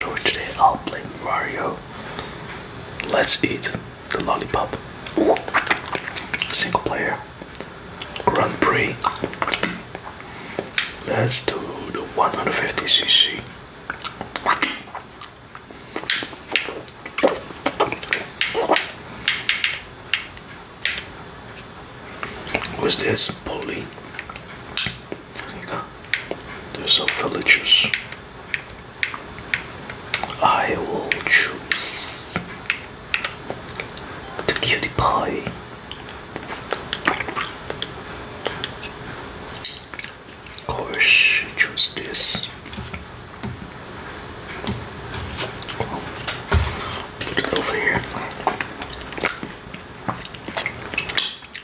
today I'll play Mario. Let's eat the lollipop. Single player. Grand Prix. Let's do the 150cc. Who's this? Pauline. There's a villagers. I will choose the cutie pie. Of course, choose this. Put it over here.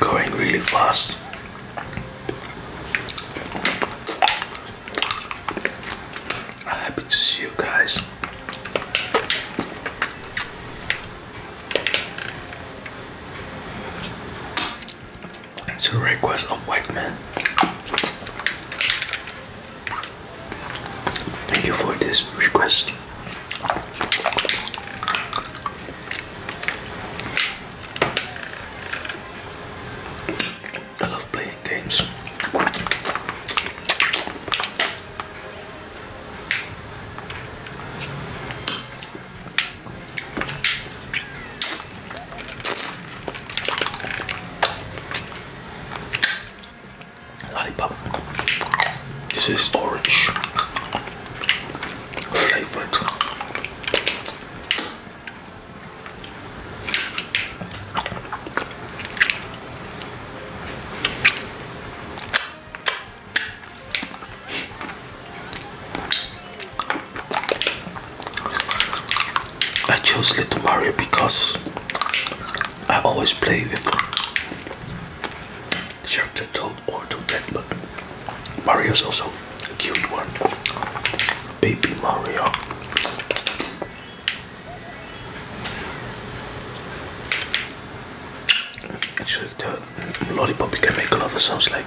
Going really fast. I'm happy to see you guys. It's a request of white man. Thank you for this request. I love playing games. Lollipop. This is orange flavored. I chose Little Mario because I always play with Shark toad or to that, but Mario's also a cute one. Baby Mario. Actually, the lollipop can make a lot of sounds like.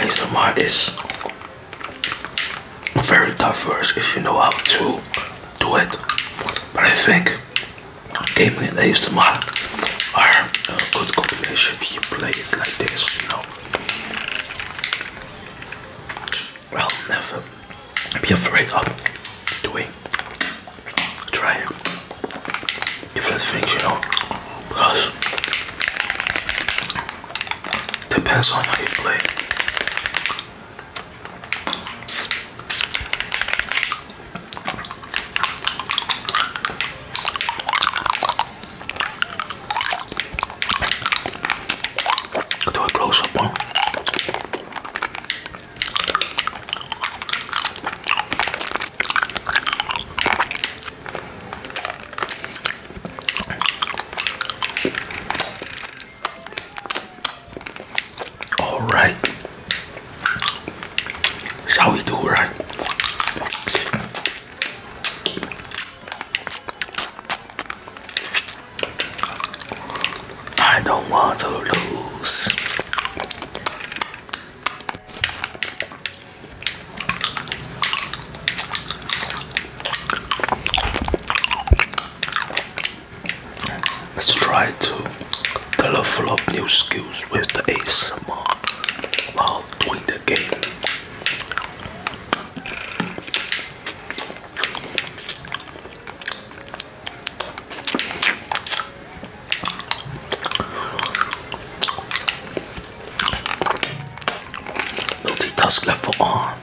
ASMR is very diverse if you know how to do it. But I think gaming and ASMR are a uh, good combination if you play it like this, you know. Well, never be afraid of doing trying different things you know because depends on how you play do a close-up one all right, that's how we do, right? I don't want to lose. Let's try to develop new skills with the ASMR while doing the game. Multi-task left for arm.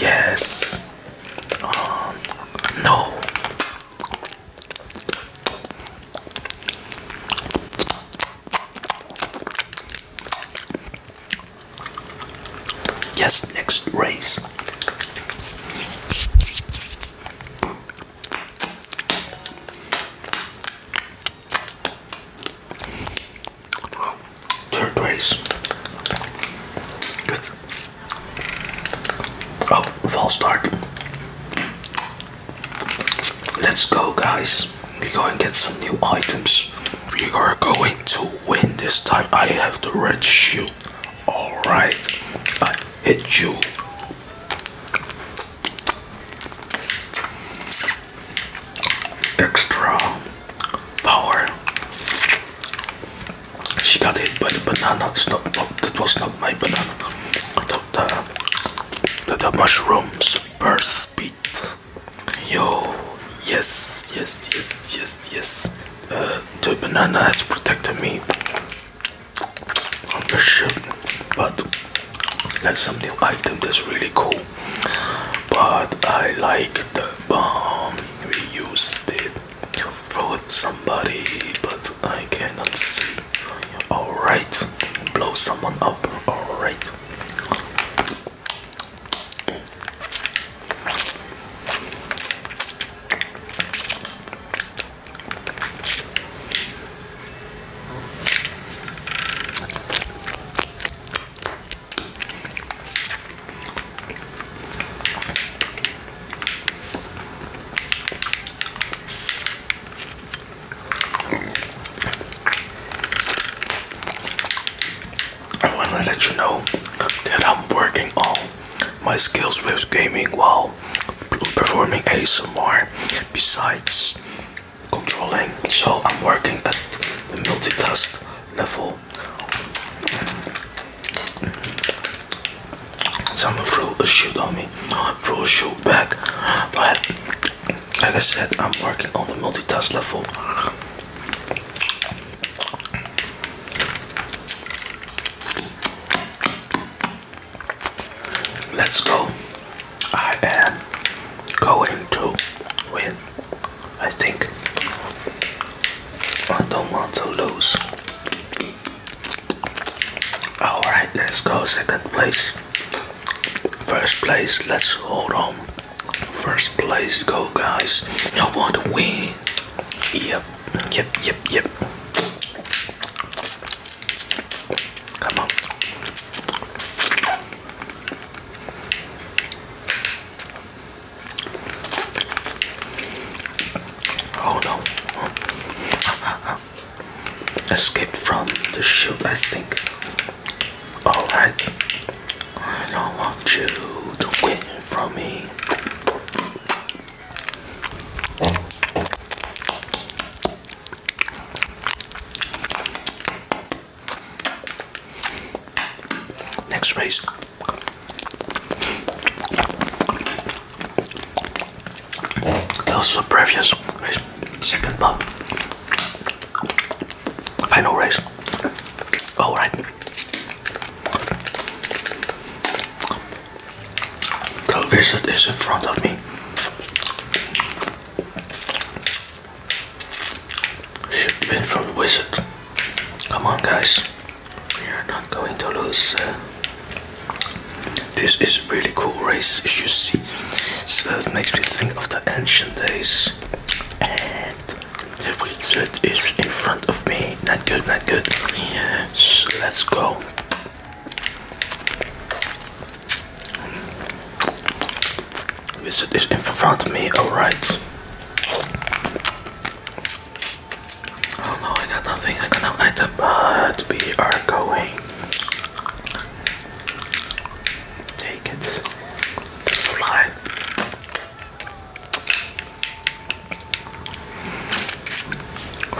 Yes. Um, no. Yes, next race. Third race. Good. Oh, false start. Let's go, guys. We're going to get some new items. We are going to win this time. I have the red shoe. All right, I hit you. Extra power. She got hit by the banana. It's not, oh, that was not my banana. The, the, the, the mushroom burst speed. Yo, yes, yes, yes, yes, yes the banana has protected me on the ship, but that's some new item that's really cool. But I like the bomb. We used it for somebody, but I cannot see. All right, blow someone up. All right. I want to let you know that I'm working on my skills with gaming while performing ASMR besides controlling. So I'm working at the multitask level. Someone threw a shoot on me, I threw a shoot back, but like I said, I'm working on the multitask level. Let's go. I am going to win. I think I don't want to lose. All right, let's go. Second place, first place. Let's hold on. First place, go guys. I want to win. Yep. Yep, yep, yep. Come on. Oh no. Escape from the shield, I think. Alright. I don't want you to win from me. Next race. That was a previous race. Second pub. Final race. All right. The wizard is in front of me. Should win from the wizard. Come on, guys. We are not going to lose. Uh, this is really cool race, as you see. So it makes me think of the ancient days. The result is in front of me. Not good, not good. Yes, let's go. Result is in front of me. All right. Oh no, I got nothing. I got no but we are going. Take it. let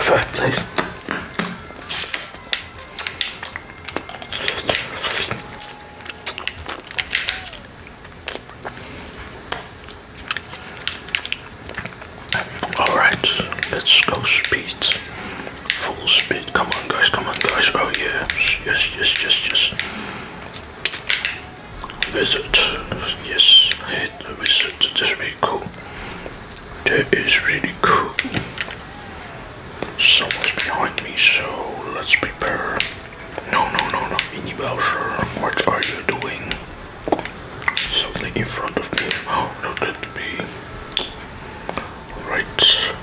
Sorry, please. All right, let's go speed, full speed. Come on, guys! Come on, guys! Oh yes, yes, yes, yes, yes. Wizard. Yes, I hate the wizard. That's really cool. That is really cool. Someone's behind me, so let's prepare. No, no, no, no. Mini Bowser, what are you doing? Something in front of me. oh, could at me. Right.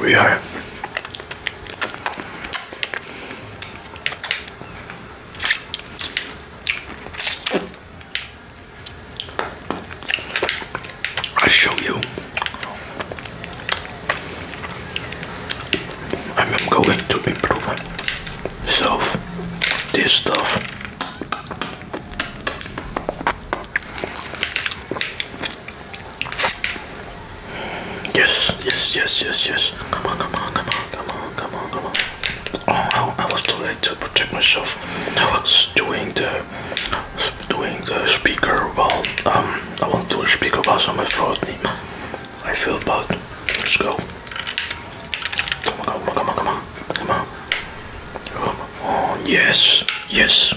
We are I'll show you. I'm going to improve myself this stuff. Yes, yes, yes, yes, yes. Come on, come on, come on, come on, come on, come on. Oh, I, I was too late to protect myself. I was doing the doing the speaker while um I want to speak about on my throat. I feel bad. Let's go. Come on, come on, come on, come on, come on. Oh yes, yes.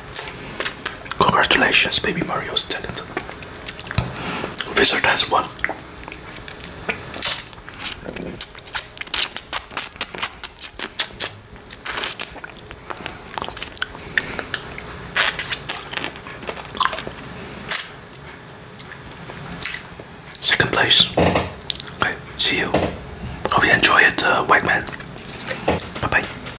Congratulations, Baby Mario's tenant. Wizard has won. Second place. Okay, see you. Hope you enjoy it, uh, White Man. Bye bye.